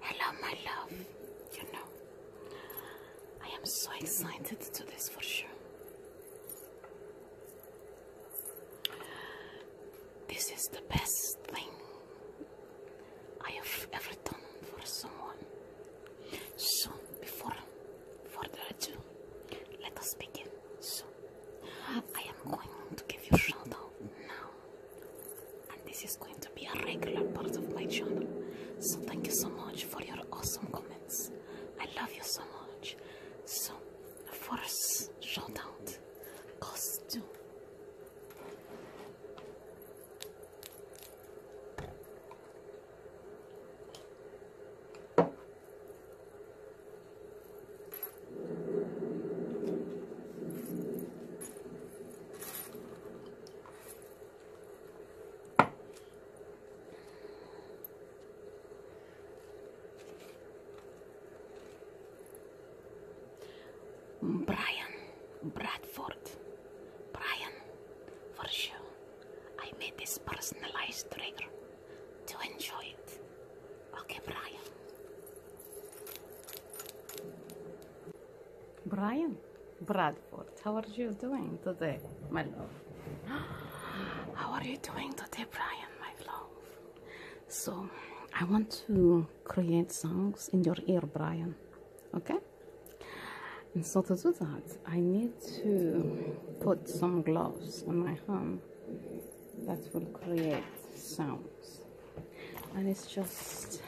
Hello, my love. You know, I am so excited to this for sure. This is the best thing I have ever done for someone. So, before further ado, let us begin. So, I am going to give you a shout out now and this is going to be a regular part of my channel. So thank you so much for your awesome comments. I love you so much. So first shout out goes to Brian Bradford. Brian, for sure. I made this personalized trigger to enjoy it. Okay, Brian. Brian Bradford, how are you doing today, my love? How are you doing today, Brian, my love? So, I want to create songs in your ear, Brian. Okay? And so, to do that, I need to put some gloves on my hand that will create sound and it's just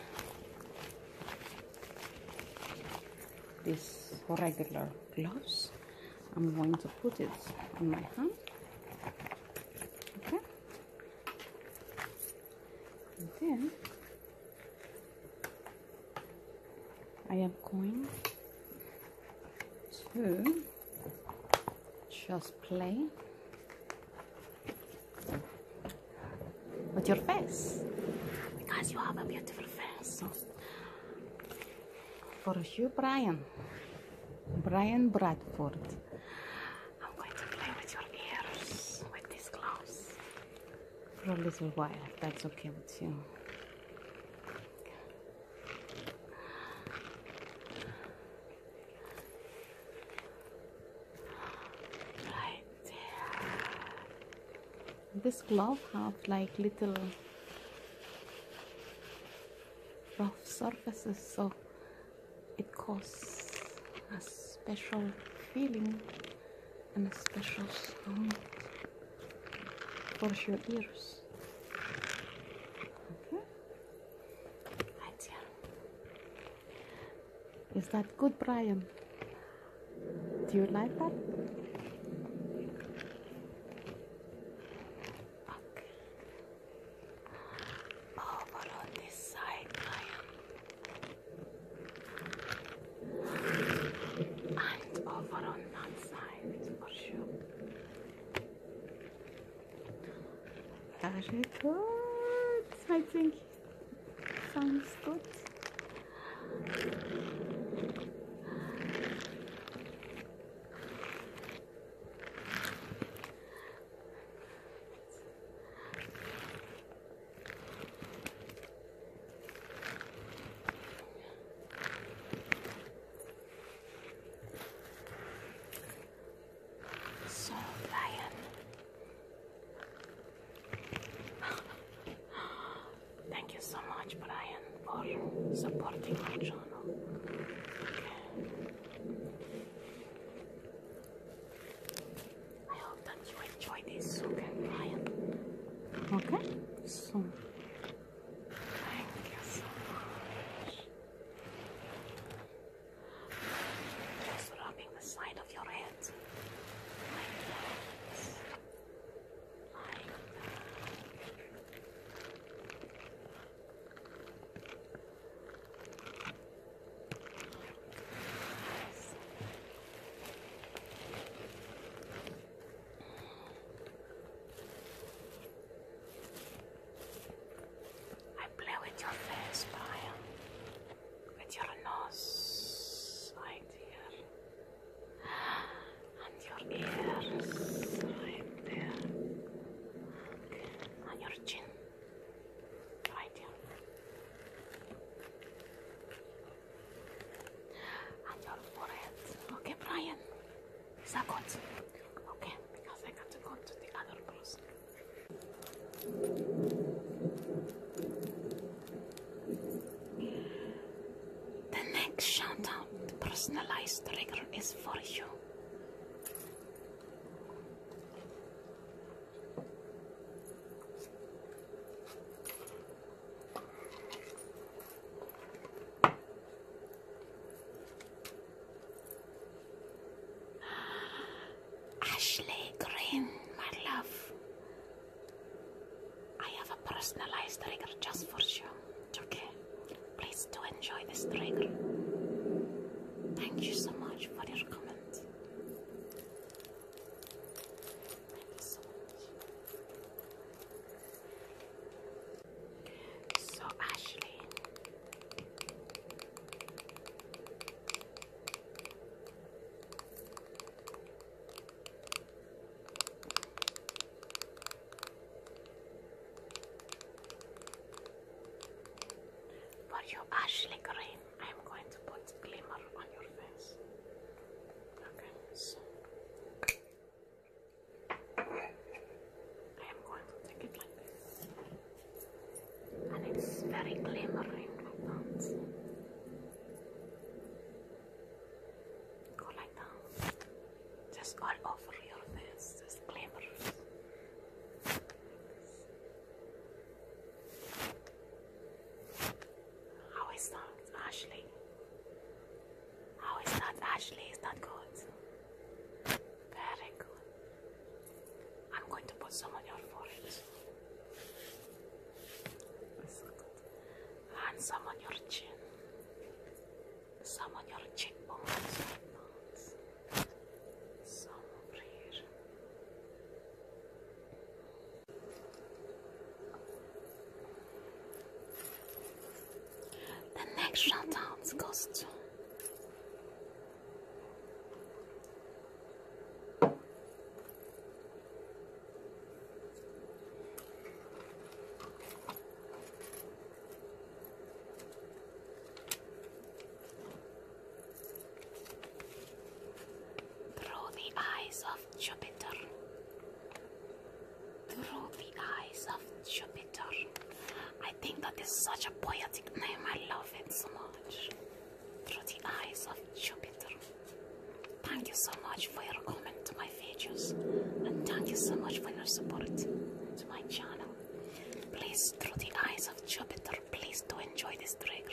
this regular gloves I'm going to put it on my hand okay then I am going to just play with your face because you have a beautiful face. For you, Brian, Brian Bradford, I'm going to play with your ears with these gloves for a little while if that's okay with you right this glove have like little rough surfaces so it causes a special feeling and a special sound for your ears okay right here is that good, Brian? Do you like that? Okay. Over on this side, Brian. And over on that side, for sure. Very good, I think. Sounds good. So, Brian. Thank you so much, Brian, for supporting my channel. I hope that you enjoy this, okay, Brian? Okay? So, thank you so much. Just rubbing the side of your head like that. Like that. Yes. I play with your face, Brian with your nose right here and your ears right there and your chin right here and your forehead. Okay, Brian, is that good? Okay, because I got to go to the other person. The next shout out personalized trigger is for you. Ashley Green, my love. I have a personalized trigger just for you. Okay, please do enjoy this trigger. Thank you so much for your comment. So Ashley. For you, Ashley Green, I'm going to put glimmer on your face. Okay, so I am going to take it like this and it's very glimmering like that. Go like that. Just all over your face, just glimmer. How is that, Ashley? How is that, Ashley? Is that good? Very good. I'm going to put some on your forehead. And some on your chin. Some on your cheekbones. Some over here. The next shutdown goes to through the eyes of Jupiter, through the eyes of Jupiter. I think that is such a poetic name. I love it so much through the eyes of Jupiter. Thank you so much for your comment to my videos and thank you so much for your support to my channel. Please, through the eyes of Jupiter, please do enjoy this drag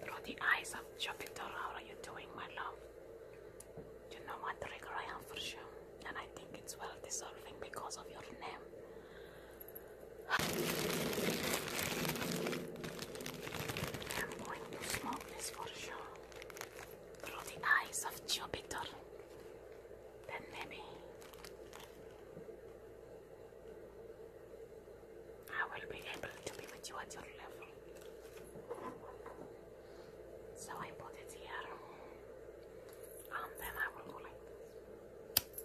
Through the eyes of Jupiter, how are you doing, my love? You know what trigger I am for sure, and I think it's well deserving because of your name. I'm going to smoke this for sure through the eyes of Jupiter. Then maybe I will be able to be with you at your level. So I put it here, and then I will go like this.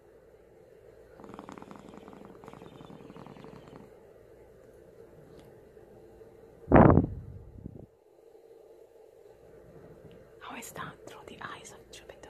How is that through the eyes of Jupiter?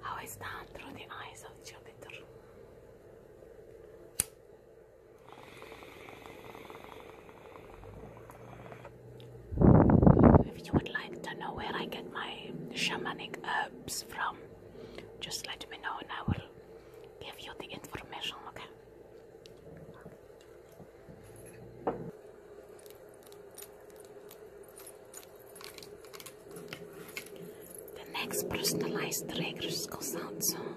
How is that through the eyes of Jupiter? If you would like to know where I get my shamanic herbs from, just let me know and I will give you the information, okay? The next personalized trigger goes out soon.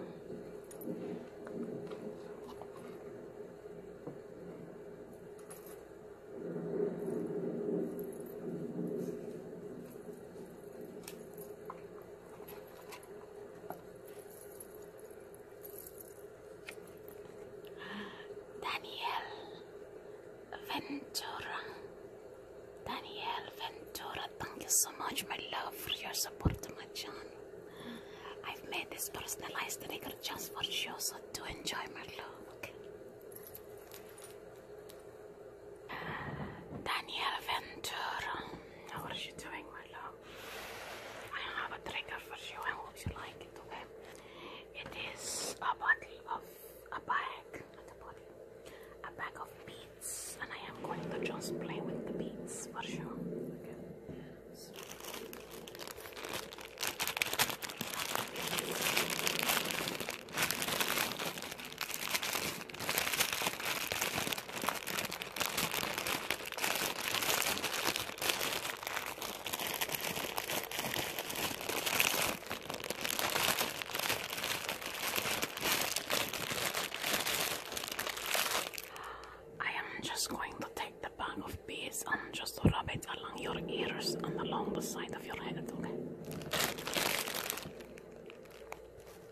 Daniel Ventura. Daniel Ventura, thank you so much, my love, for your support my channel. I've made this personalized sticker just for you, so do enjoy, my love. Daniel Ventura, how are you doing, my love? I have a trigger for you. I hope you like it, okay? It is a bottle of a bag, not a bottle, a bag of beads, and I am going to just play with the beads for sure. Okay. I am just going to take the bag of bees and just rub it along your ears and along the side of your head, okay?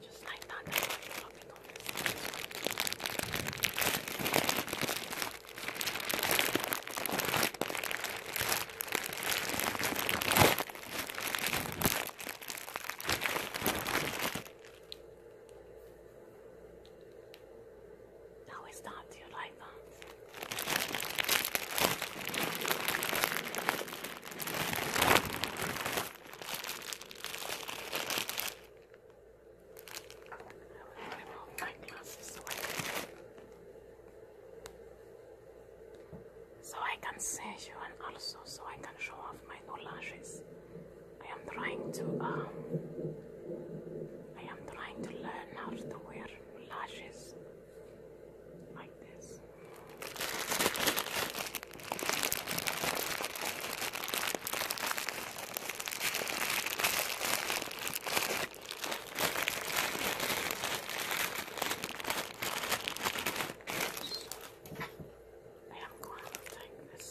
Just like that, that's why you're rubbing on this. Now it's that, do you like that? so I can so see you and also so I can show off my new lashes. I am trying to um I am trying to learn how to wear lashes like this. I am going to take this. this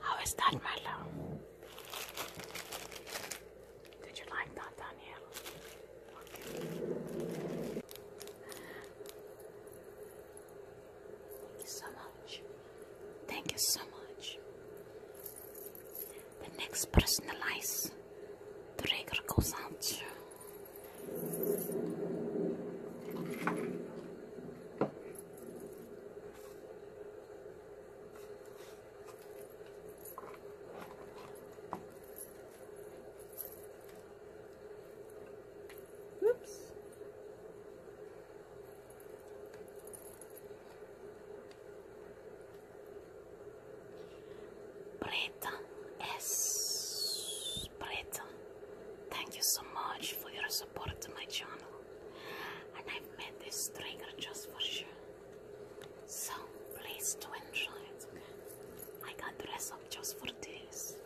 How is that, my Did you like that, Danielle? Thank you so much. Thank you so much. The next person lies. The trigger goes out to Oops. Preta, yes, Preta, thank you so much for your support to my channel. And I've made this trigger just for you. So please enjoy it, okay? I got dressed up just for this.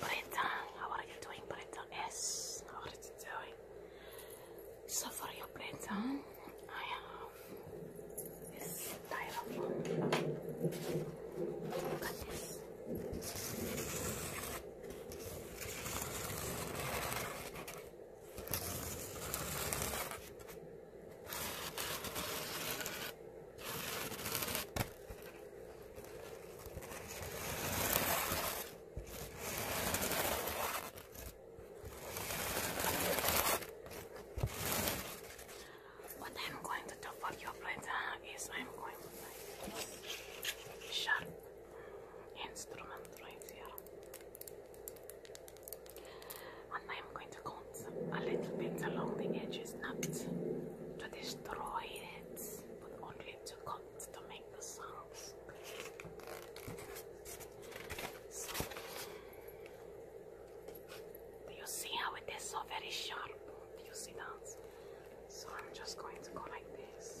Brenda, how are you doing, Brenda? S, how are you doing? So for your Brenda, I have this styrofoam. Look what I'm going to do for your brother is I'm going to like sharp instrument right here. And I'm going to cut a little bit along the edges, not to destroy it, but only to cut to make the songs. do you see how it is so very sharp? Do you see that? So I'm just going to go like this.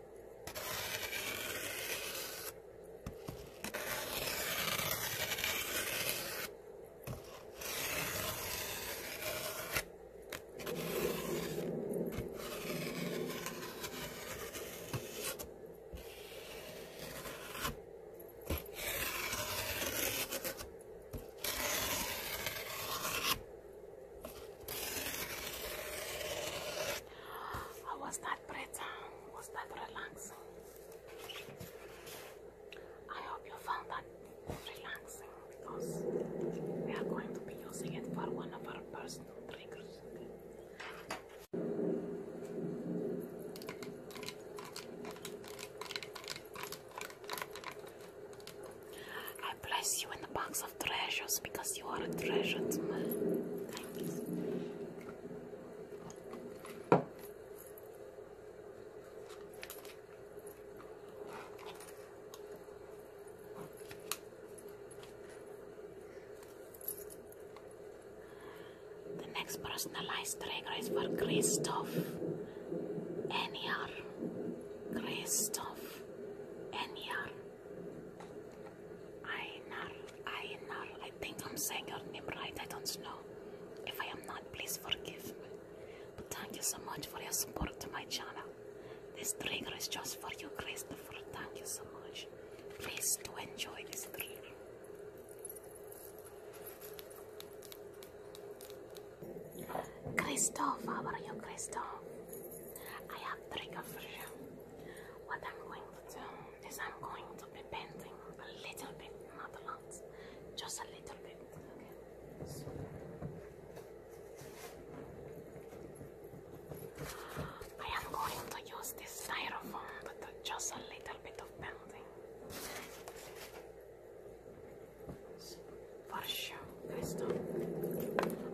I was not that breath was that relaxing? I hope you found that relaxing because we are going to be using it for one of our personal triggers. I place you in the box of treasures because you are a treasure to me. The next personalized trigger is for Christoph Eniar. Christoph Eniar. Einar, Einar, I think I'm saying your name right, I don't know. If I am not, please forgive me. But thank you so much for your support to my channel. This trigger is just for you, Christopher. Thank you so much. Please do enjoy this trigger. Christoph, how are you, Christoph? I have trigger for you. What I'm going after this I'm going to be painting a little bit, not a lot, just a little bit, okay? So. I am going to use this styrofoam but just a little bit of painting. for sure, Crystal,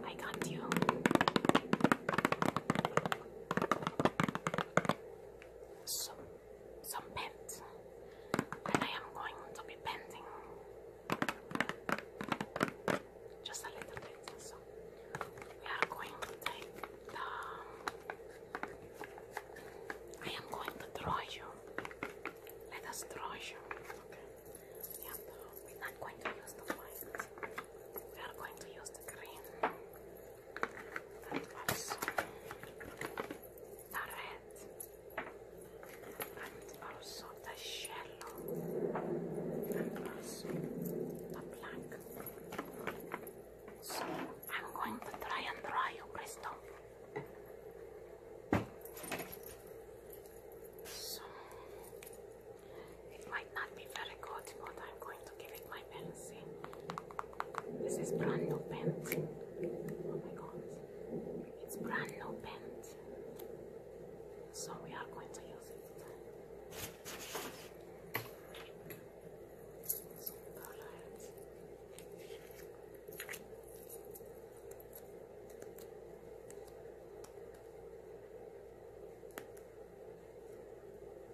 I got you some some paint and I am going to be painting just a little bit so we are going to take the I am going to draw you let us draw you okay yeah, we're not going to use the fire I'm going to use the green the red and also the yellow and also the black. So I'm going to try and dry you, Crystal. So, it might not be very good, but I'm going to give it my best. This is brand new paint. Oh my god. It's brand new paint. So we are going to use it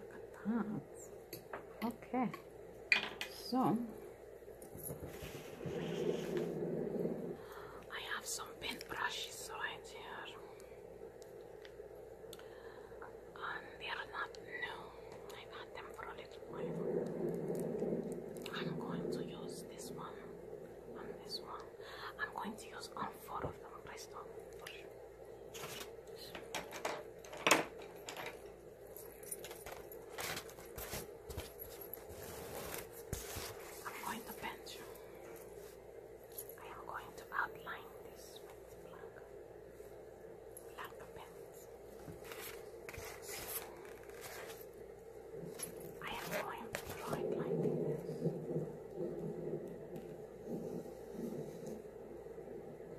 Look at that. Okay. So I have some paintbrushes right here. And they are not new. I've them for a little while. I'm going to use this one and this one. I'm going to use all four of them, please I'm going to pencil. I am going to outline this with black, black pens. I am going to draw this.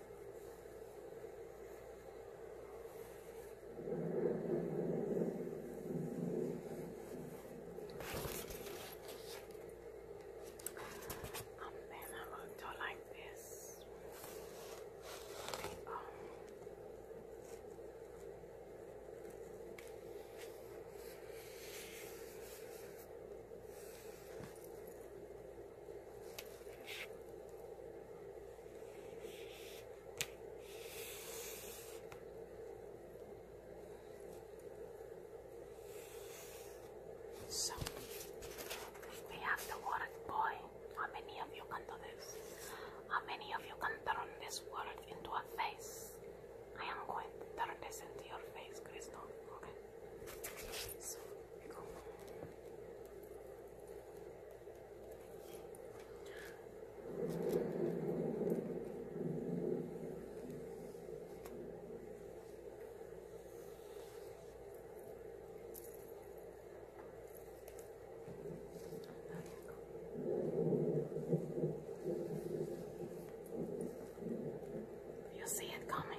Um, then I will do like this. The, so, we have the water boy. How many of you can do this? How many of you can turn this water into a face? I am going to turn this into your face, Krishna. Okay. You'll see it coming.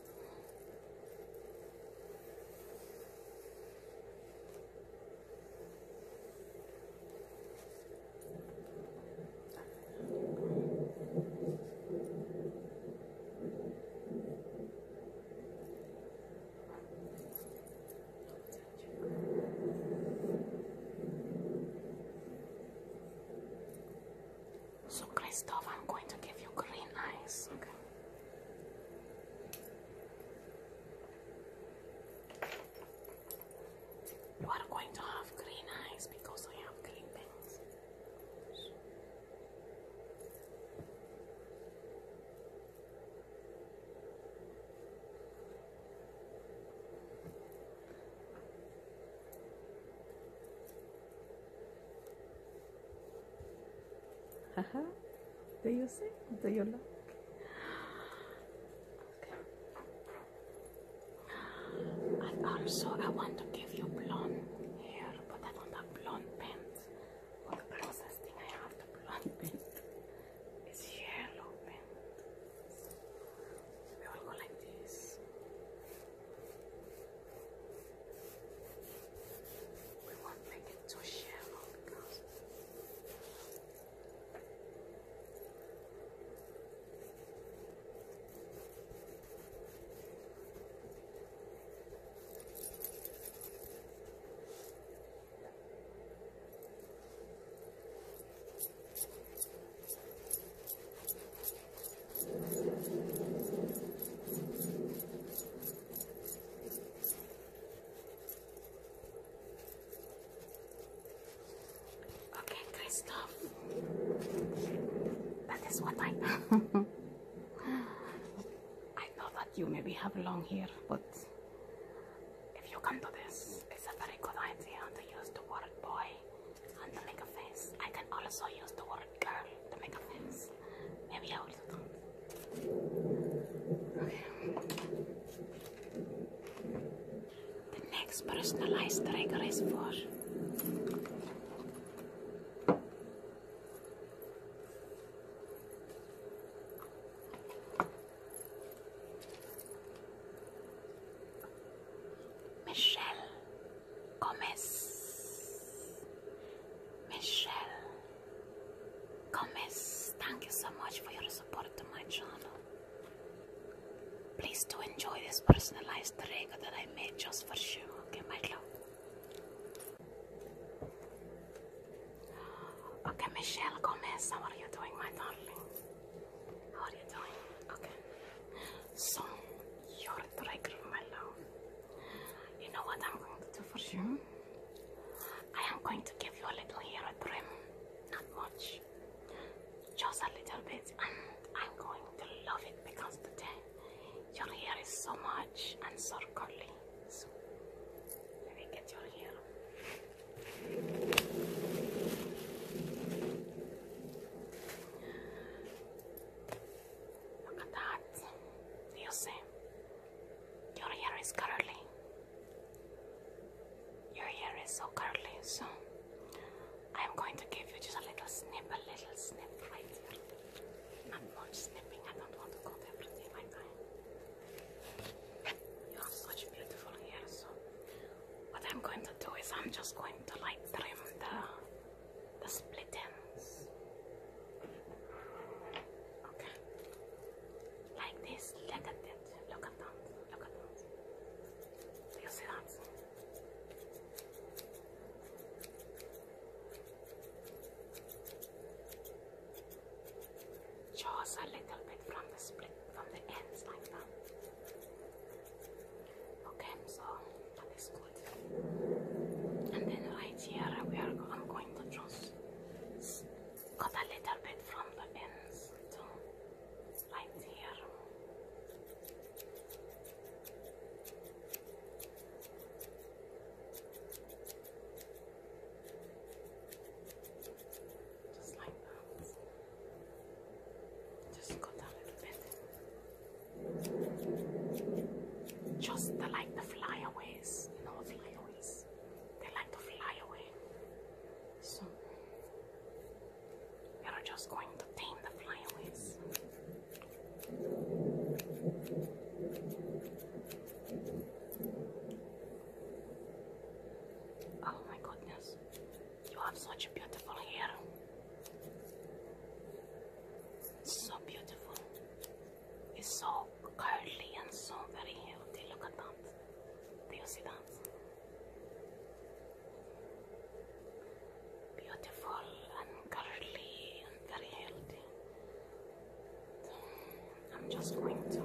So, Christoph, I'm going to give you green eyes, you are going to have green eyes because I have green things. Haha. Do you see? Do you look? also, I want to give you blonde hair, but I don't blonde pants. Well, the closest thing I have to blonde pants is yellow pants. We all go like this. We won't make it too shallow because Okay, good stuff. That is what I know. I know that you maybe have long hair, but if you come to this, it's a very good idea to use the word boy and to make a face. I can also use the word or the makeup Maybe I will do that. Okay. The next personalized trigger is for Michelle Gomez. Michelle Gomez, thank you so much for your support to my channel. Please do enjoy this personalized regga that I made just for you. Okay, my love. Okay, Michelle Gomez, how are you doing, my darling? How are you doing? Okay. So, you're the reggae, my love. You know what I'm going to do for you? I am going to give you a little hair trim, not much, just a little bit, and I'm going to love it because today your hair is so much and so curly. So let me get your hair. Look at that. you see? Your hair is curly. Your hair is so curly, so I'm going to give you just a little snip, a little snip right here. Not much snipping, I don't want to cut everything like that. You have such beautiful hair, so what I'm going to do is I'm just going to like trim the the split ends. Like this. Look at that. Look at that. Look at that? Just a little bit from the split, from the ends like that. Okay, so that is good. And then right here we are. I'm going to draw cut a little bit from the ends to right here. Just like that. Just cut a little bit. Just the, like the flyaways, you know, flyaways. They like to fly away. So we are just going to tame the flyaways. Oh my goodness, you have such beautiful hair. So beautiful. It's so curly and so very healthy. Look at that. Do you see that? Beautiful and curly and very healthy. I'm just going to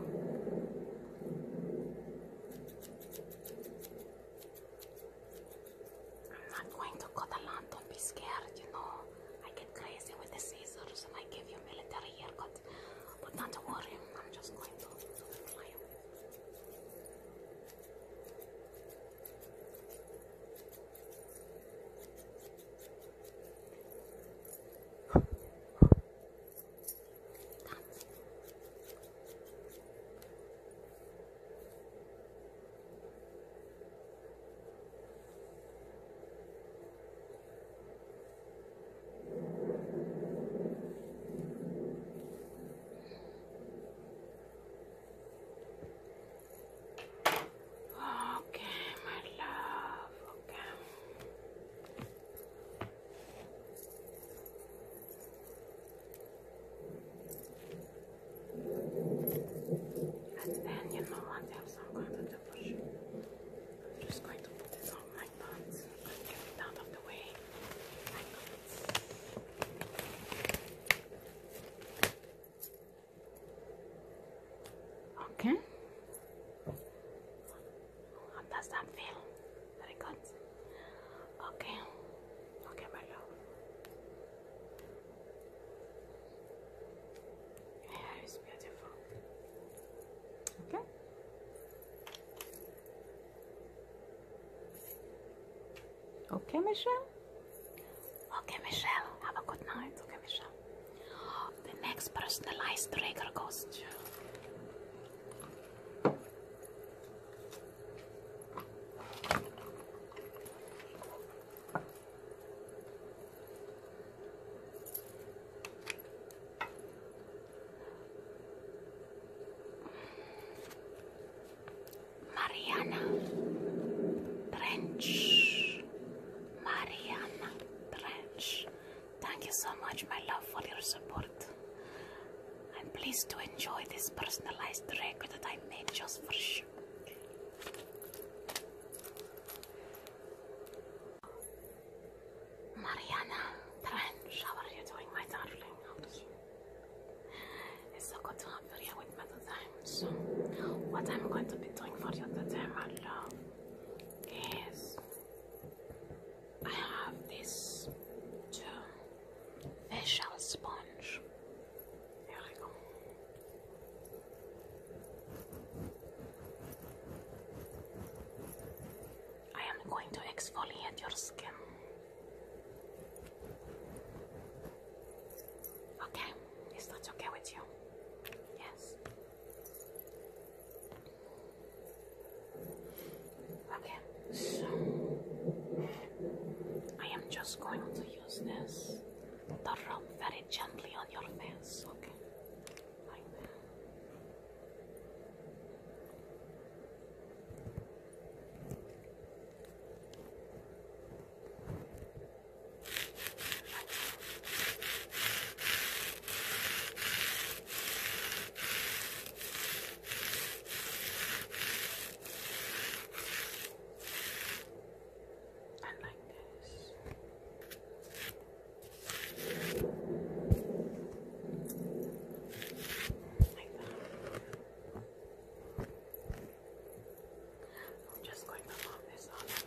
I'm not going to cut a lot, don't be scared, you know. I get crazy with the scissors and I give you military haircut. But not to worry, I'm just going to fly and then you know what? They have some kind of I'm just going to put this on my pants. out of the way. Okay. does that feel? Very good. Okay. Okay, my love. Hair is beautiful. Okay. Okay, Michelle. Okay, Michelle. Have a good night. Okay, Michelle. The next personalized trigger goes to. Mariana Trench. Mariana Trench. Thank you so much, my love, for your support. I'm pleased to enjoy this personalized record that I made just for you. Mariana Trench, how are you doing, my darling? How are you? It's good to have you here with me today. So, what I'm going to be doing for you today, my love, is I have this two sponge. Here I go. I am going to exfoliate your skin. Okay, is that okay with you? Yes. Okay, so I am just going to use this to rub very gently on your face, okay? like that. And like this. Like that. I'm just going to rub this all over.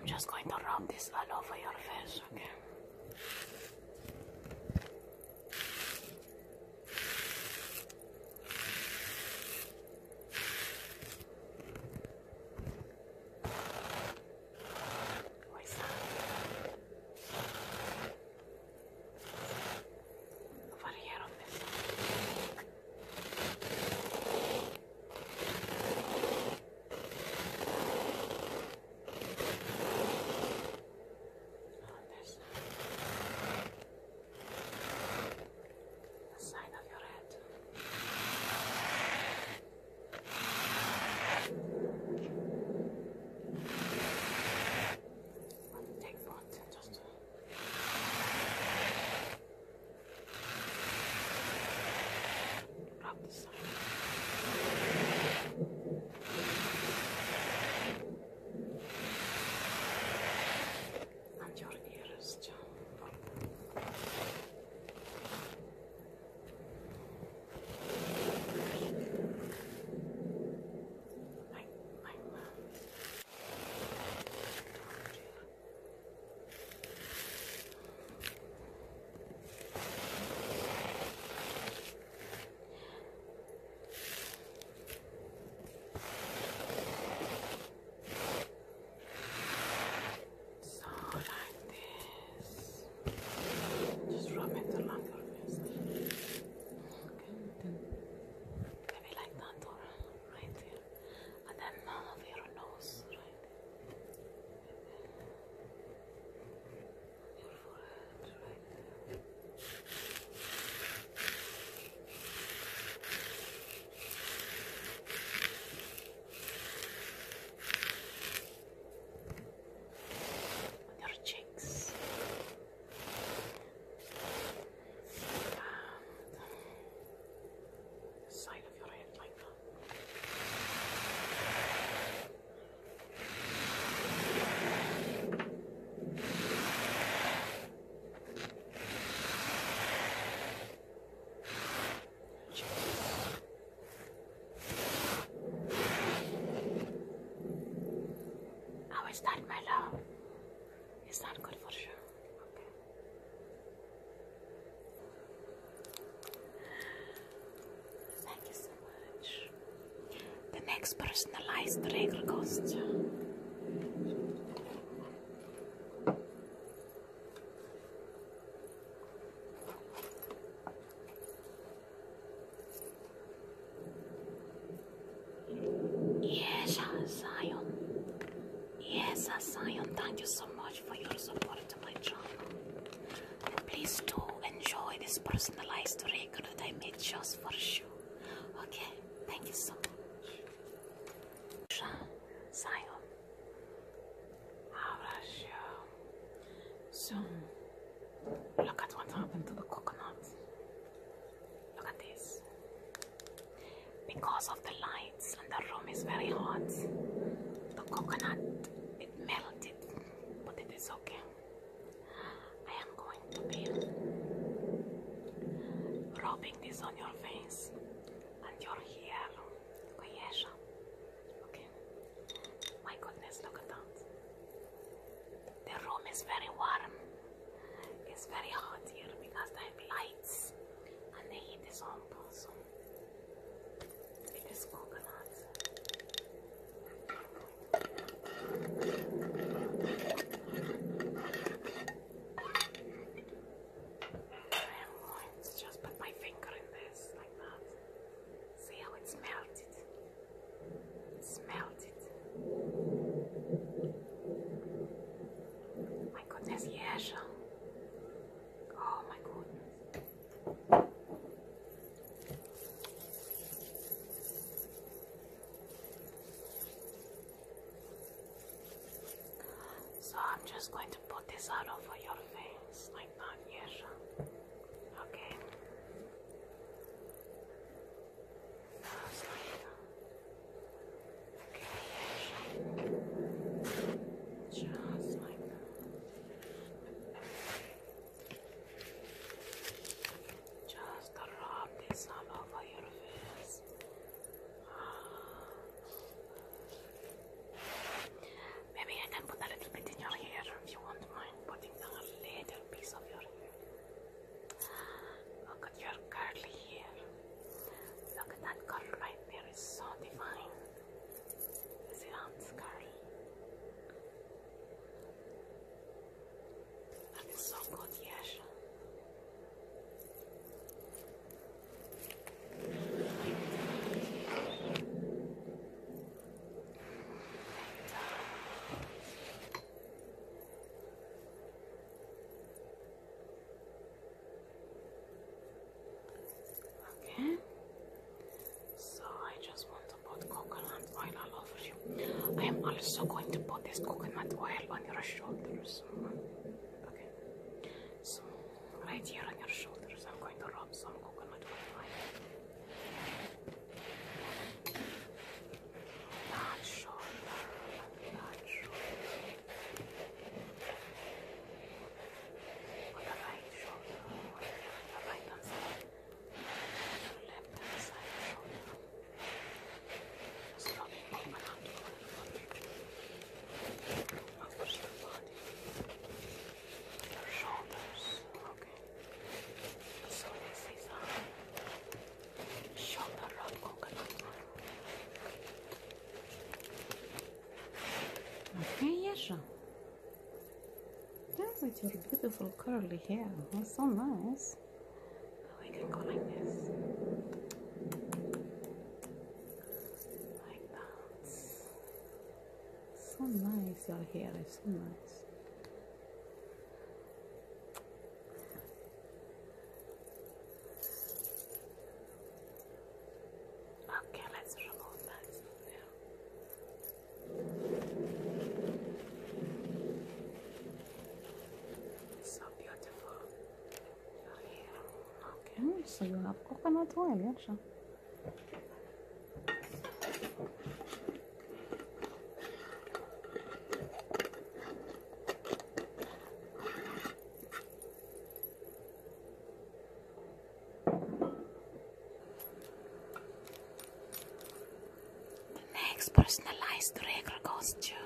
I'm just going to rub this all over your face, okay? Okay. What's that? Variaron this. On this side. The side of your head. Let me take one just to rub the side. And your ears, John. My, my mom told you. I so like this. Just rub it along your wrist. Okay, maybe like that or right here. And then over your nose, right? Your forehead, right there on your cheeks. And um, side of your head like that. Good. How is that, my love? Is that good for sure? Thank you so much. The next personalized regal costume. Yes, Zion. Yes, Zion. Thank you so much for your support to my channel. please do enjoy this personalized record that I made just for you. Okay, thank you so much. Zion. I'll bless So, look at what happened to the coconut. Look at this. Because of the lights and the room is very hot, the coconut it melted, but it is okay. I am going to be rubbing this on your face and your hair. Okay, yes. Okay. My goodness, look at that. The room is very warm. It's very hot here because they have lights and they heat this on also. It is coconut. I'm to just put my finger in this like that. See how it's melted? It's melted. My goodness, yes. Oh my goodness. So I'm just going to put this out over your face like unieża. Ok. Rozlejna. Ok, Just like that. Just rub this all over your face. Ah. Maybe I can put a little bit in your hair if you will mind putting a little piece of your hair. Look at your curly hair. Look at that curl right there, it's so divine. You see how curly? That is so good, yes. Okay, so I just want to put coconut oil over you. I am also going to put this coconut oil on your shoulders. Okay, so Right here on your shoulders, I'm going to rub some coconut oil. That shoulder, that shoulder. On the right shoulder, on the right hand side, on the left hand side shoulder. Just rubbing coconut oil on your body your shoulders. Okay. So this is a shoulder rub coconut oil. Okay, Yasha. Look at your beautiful curly hair. That's so nice. We can go like this. Like that. So nice your hair is so nice. Okay, let's remove that So beautiful. Your hair. Okay, mm, so you have coconut oil, yeah. Next, personalized regular costume.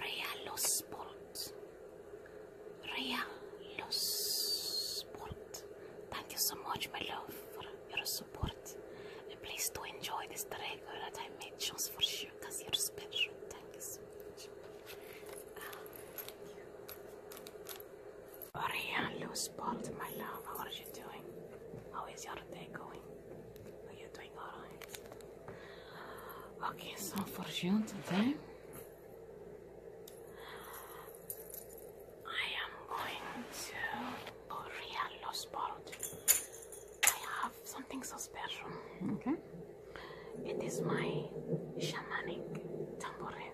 Real Sport. Real Sport. Thank you so much, my love, for your support. And please do enjoy this trigger that I made just for you, because you're special. Thank you so much. Ariane, loose balls, my love. How are you doing? How is your day going? Are you doing alright? Okay, so for you today, I am going to Korean Lost World. I have something so special. Okay. It is my shamanic tambourine.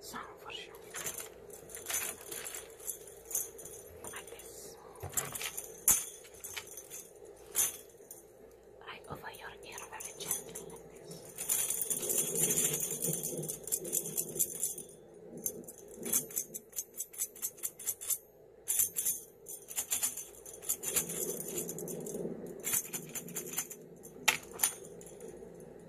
some for sure. Like this. Right over your ear very gently like this.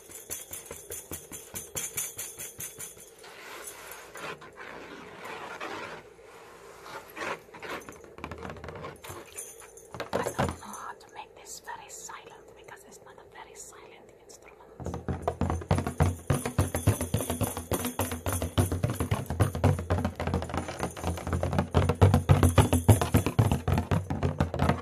I don't know how to make this very silent because it's not a very silent instrument.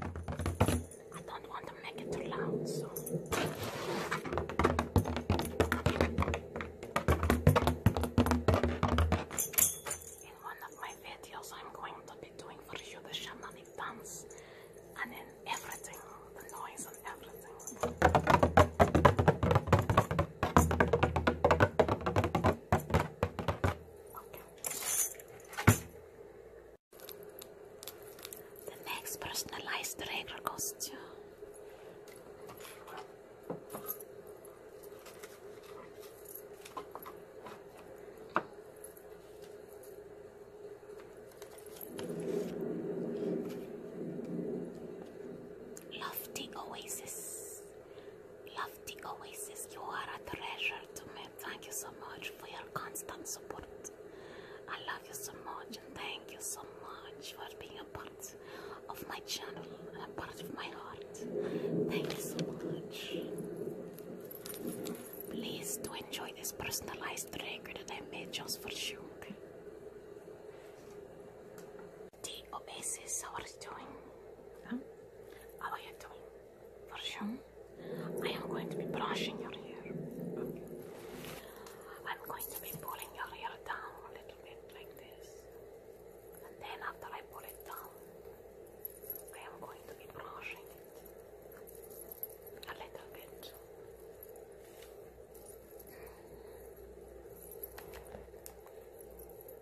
I don't want to make it too loud, so. In one of my videos, I'm going to be doing for you the shamanic and then everything, the noise and everything. The next personalized regular costume. Lofty Oasis the Oasis. You are a treasure to me. Thank you so much for your constant support. I love you so much and thank you so much for being a part of my channel and a part of my heart. Thank you so much. Please do enjoy this personalized trigger that I made just for you. The Oasis, how are doing? How are you doing? For I am going to be brushing your hair. I'm going to be pulling your hair down a little bit like this. And then after I pull it down, I am going to be brushing it a little bit.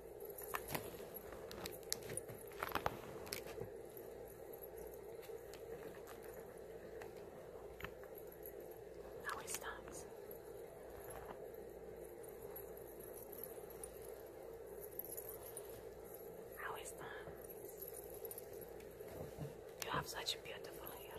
Now it stops. Now You have such beautiful hair,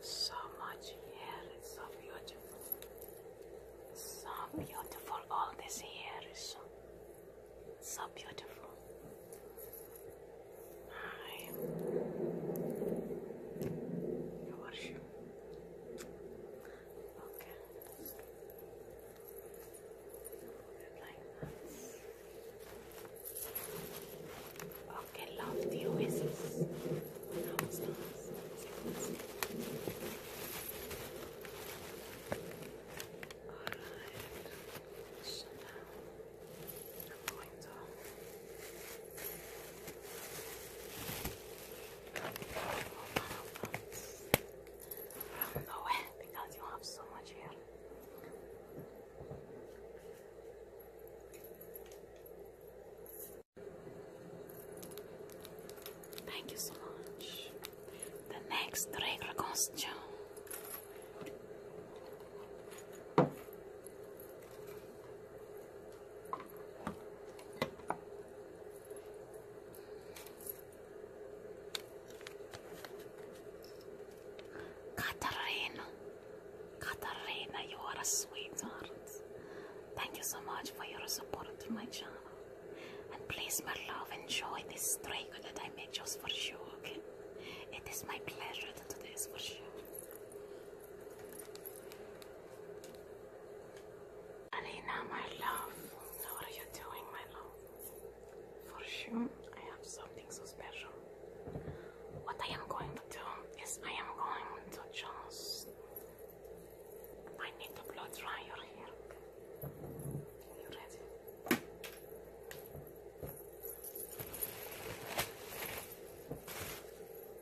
So much hair, it's so beautiful. So beautiful, all this hair is so, so beautiful. Hi. How are you? Okay. Like that. Okay, love the oasis. That was Alright. So now I'm going to from the wet because you have so much hair. Thank you so much. The next regular costume. Katarina, Katarina, you are a sweetheart. Thank you so much for your support to my channel. And please, my love, enjoy this strike that I made just for you, okay? It is my pleasure to do this for you. Alina, my love, what are you doing, my love? For sure, I have something so special. What I am going to do is I am going to just. I need to blow dry your hair. Are you ready?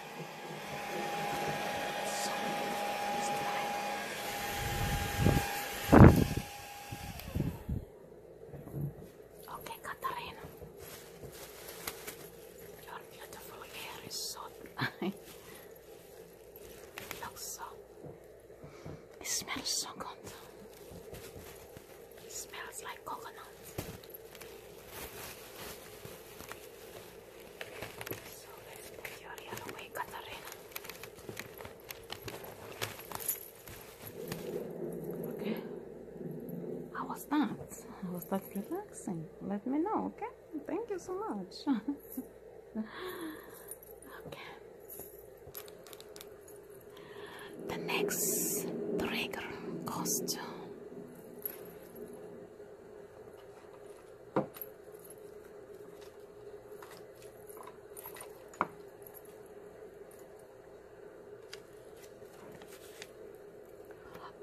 Okay, Katarina, your beautiful hair is so so. It smells so good. It smells like coconut. Okay. How was that? How was that relaxing? Let me know, okay? Thank you so much. okay. The next trigger goes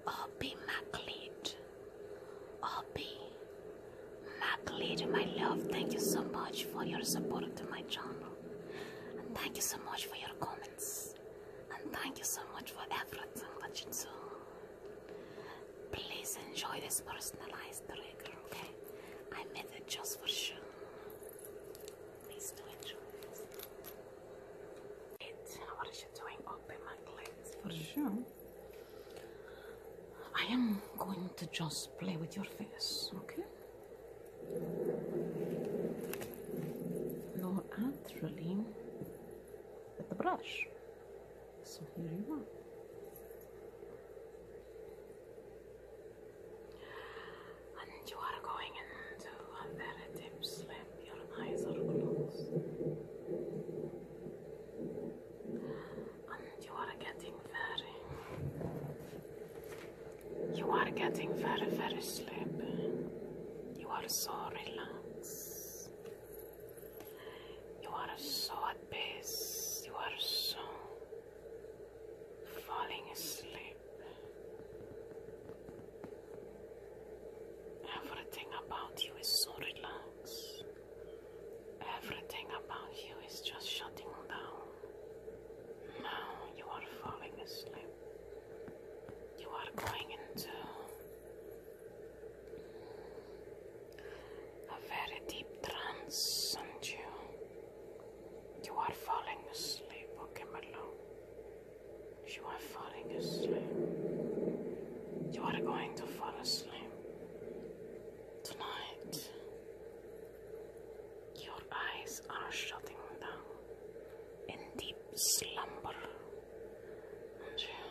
Obi Macleod. Obi Macleod, my love, thank you so much for your support to my channel. And thank you so much for your comments. And thank you so much for everything that you do. Please enjoy this personalized trigger, okay? I made it just for you. Please enjoy It, what are you doing? Open my lens for sure. I am going to just play with your face, okay? No, actually, with the brush. So here you are. And you are going into a very deep sleep. Your eyes are closed. And you are getting very, you are getting very, very sleepy. You are so relaxed. You are so at peace, you are so falling asleep. Everything about you is so relaxed. Everything about you is just shutting down. Now you are falling asleep. You are going into a very deep trance, and you you are falling asleep, okay You are falling asleep. You are going to fall asleep. Tonight your eyes are shutting down in deep slumber. And you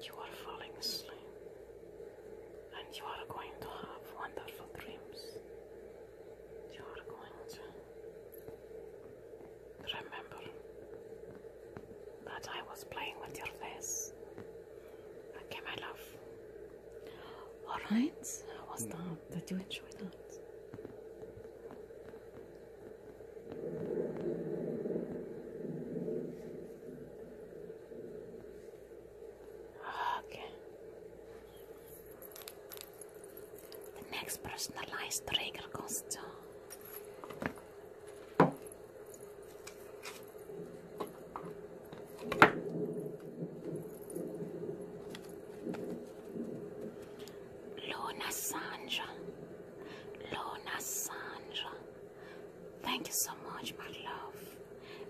you are falling asleep, and you are going to have wonderful dreams. You are going to remember that I was playing with your face. Okay, my love. Alright, how was mm. that? Did you enjoy that? Okay. The next personalized trigger goes to. Luna Sandra, Luna Sandra. Thank you so much, my love.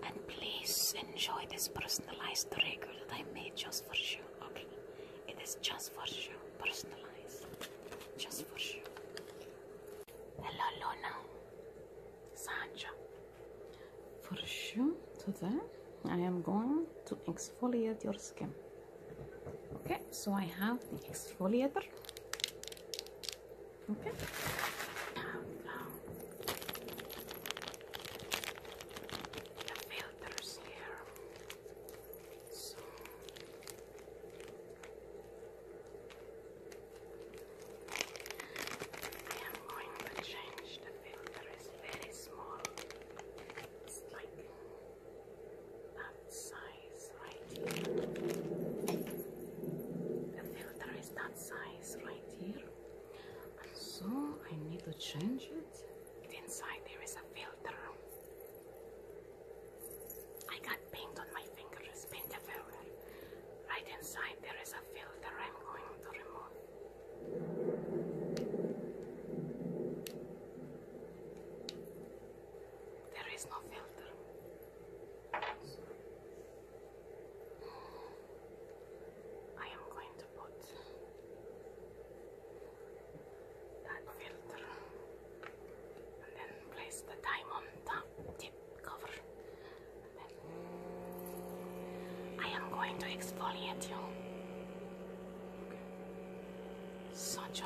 And please enjoy this personalized trigger that I made just for you. Okay, it is just for you, personalized, just for you. Hello, Luna, Sanja. For you today, I am going to exfoliate your skin. Okay, so I have the exfoliator. Okay. Now the filters here. So I am going to change the filter. It's very small. It's like a size right here. The filter is that size right here. And so I need to change it. Inside there is a filter. I got paint on my fingers, paint filter. Right inside there is a filter I'm going to remove. There is no filter. I am going to put that filter and then place the diamond on top tip cover. I am going to exfoliate you. Such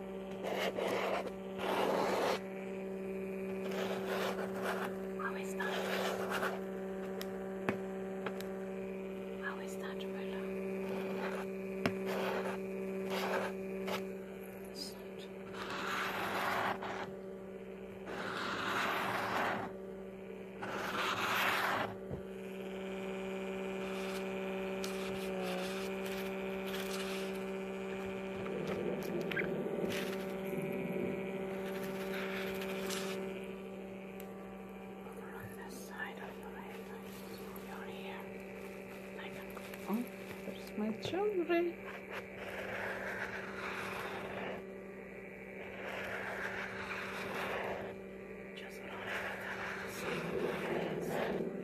How is that? How is that, Rilla? It's not on this side of your eyelids, your ear. I can go. Oh, there's my children. Just put on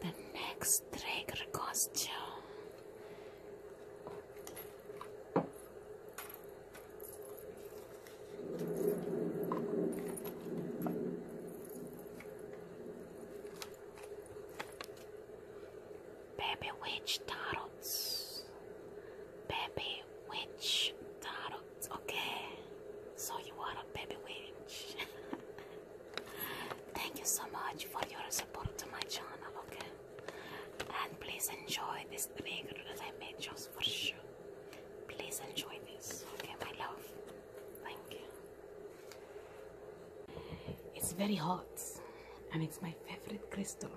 The next trick requires you. Baby witch tarots. Baby witch tarots. Okay, so you are a baby witch. Thank you so much for your support to my channel. Okay, and please enjoy this trigger that I made just for you. Please enjoy this. Okay, my love. Thank you. It's very hot, and it's my favorite crystal,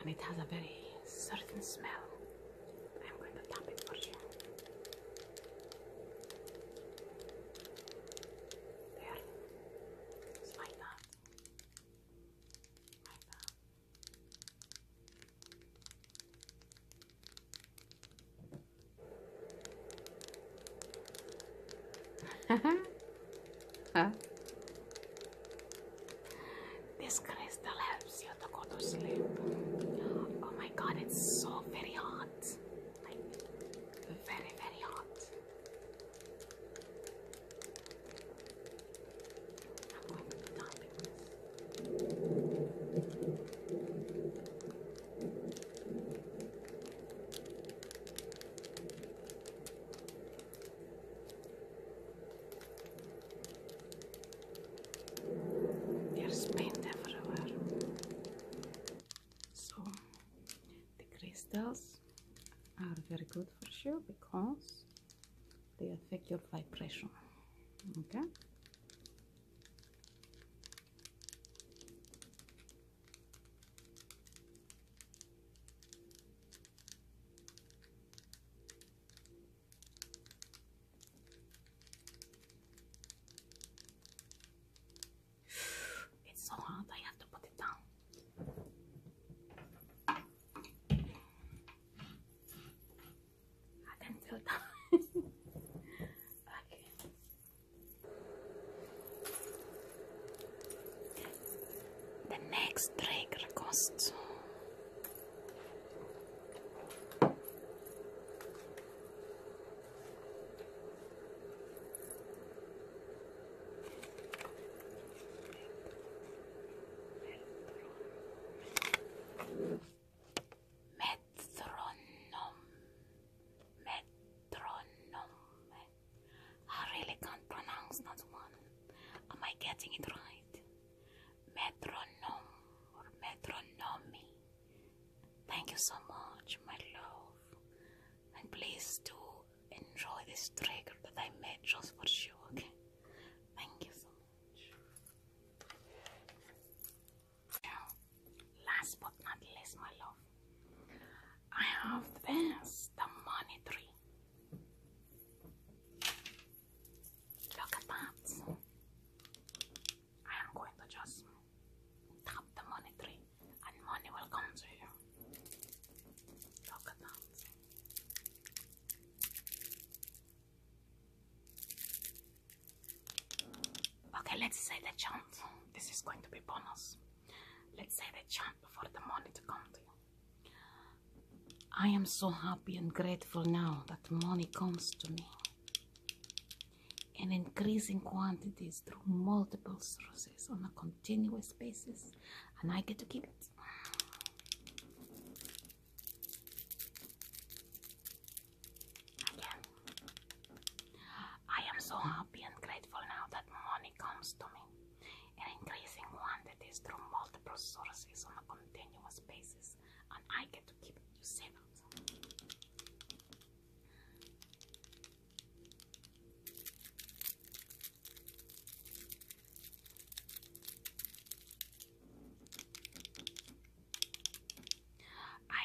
and it has a very certain smell. I'm going to tap it for sure. There. It's like that. Like that. huh? This crystal helps you to go to sleep. Oh my god, it's so very hot. Like, very, very hot. There's paint everywhere. So the crystals are very good for you because they affect your vibration. Okay. It's so hard. I have to put it down. I can feel that. okay. The next trigger costs. Metronom. Metronom. I really can't pronounce that one. Am I getting it right? Metronome or metronomy? Thank you so much, my love. And please do enjoy this trigger that I made just for you, okay? Thank you so much. last but not least, my love, I have this, the money tree. Look at that. I am going to just tap the money tree and money will come to you. Okay, let's say the chant. This is going to be bonus. Let's say the chant before the money to come to you. I am so happy and grateful now that money comes to me and increasing quantities through multiple sources on a continuous basis, and I get to keep it. Again, I am so happy and grateful now that money comes to me in increasing quantities through multiple sources on a continuous basis, I get to keep You save I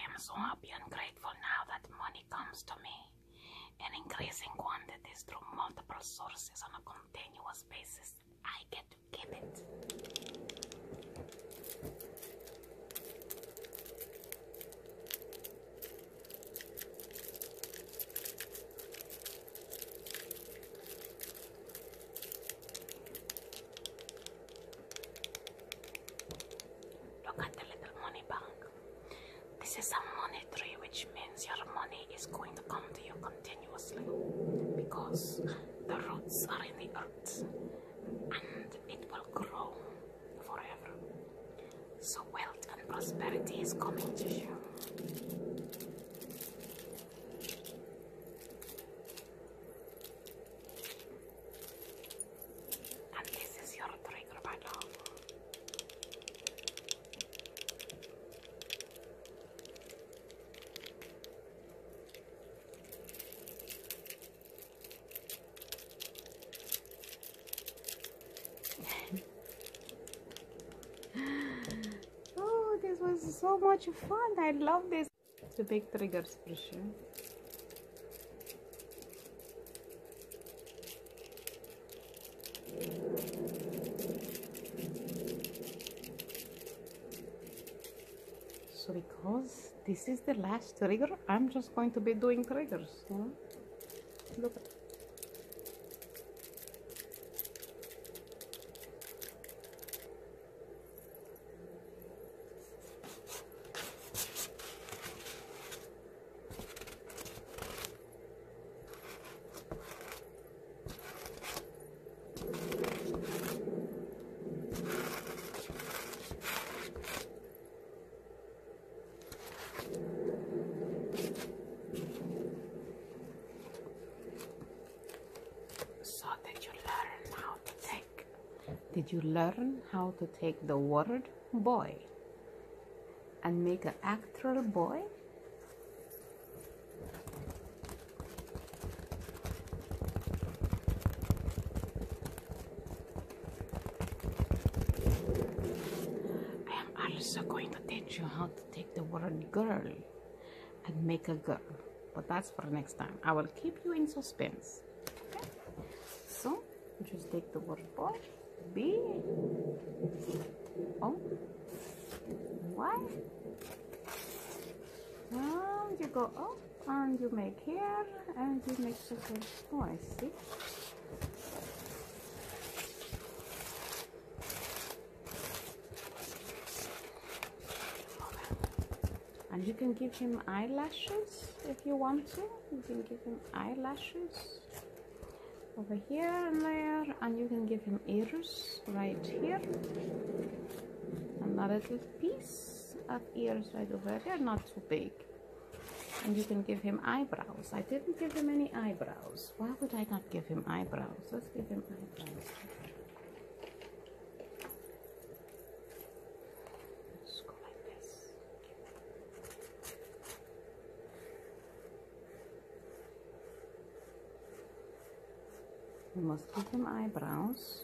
am so happy and grateful now that money comes to me and increasing quantities through multiple sources on a continuous basis. I get to keep it. Look at the money bank. This is a money tree, which means your money is going to come to you continuously because the roots are in the earth and it will grow forever. So wealth and prosperity is coming to you. And this is your trigger, my love. oh, this was so much fun. I love this. Sübek triggers proszę so because this is the last trigger I'm just going to be doing triggers look so did you learn how to take? Did you learn how to take the word boy and make an actual boy? I am also going to teach you how to take the word girl and make a girl. But that's for next time. I will keep you in suspense. So, just take the word boy, What? And you go up and you make hair, and you make something oh I see and you can give him eyelashes if you want to you can give him eyelashes over here and there and you can give him ears right here another little piece of ears right over there not too big and you can give him eyebrows. I didn't give him any eyebrows. Why would I not give him eyebrows? Let's give him eyebrows. go like this. We must give him eyebrows.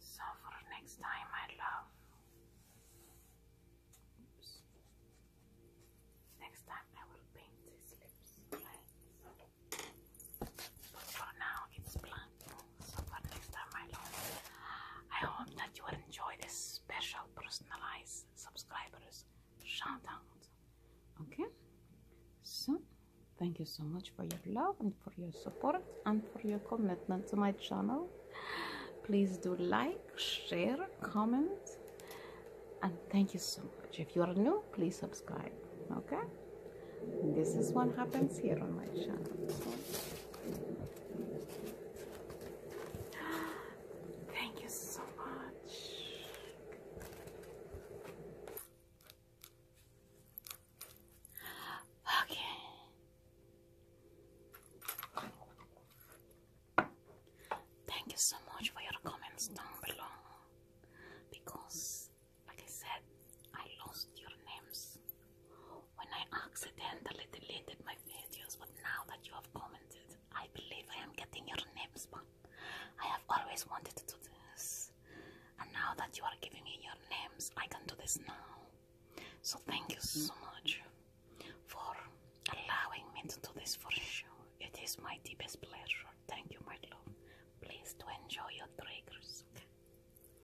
so for next time, my love. Next time I will paint his lips. But for now, it's blank. So for next time, my love, I hope that you will enjoy this special personalized subscribers shout Okay? So, thank you so much for your love and for your support and for your commitment to my channel. Please do like, share, comment, and thank you so much. If you are new, please subscribe. Okay? this is what happens here on my channel. Thank you so much. Okay. Thank you so much for your comments down below because, like I said, I lost your names when I accidentally deleted my videos, but now that you have commented, I believe I am getting your names back. I have always wanted to do this, and now that you are giving me your names, I can do this now. So, thank you so mm-hmm. much for allowing me to do this for you. It is my deepest pleasure. Thank you, my love. Please do enjoy your triggers.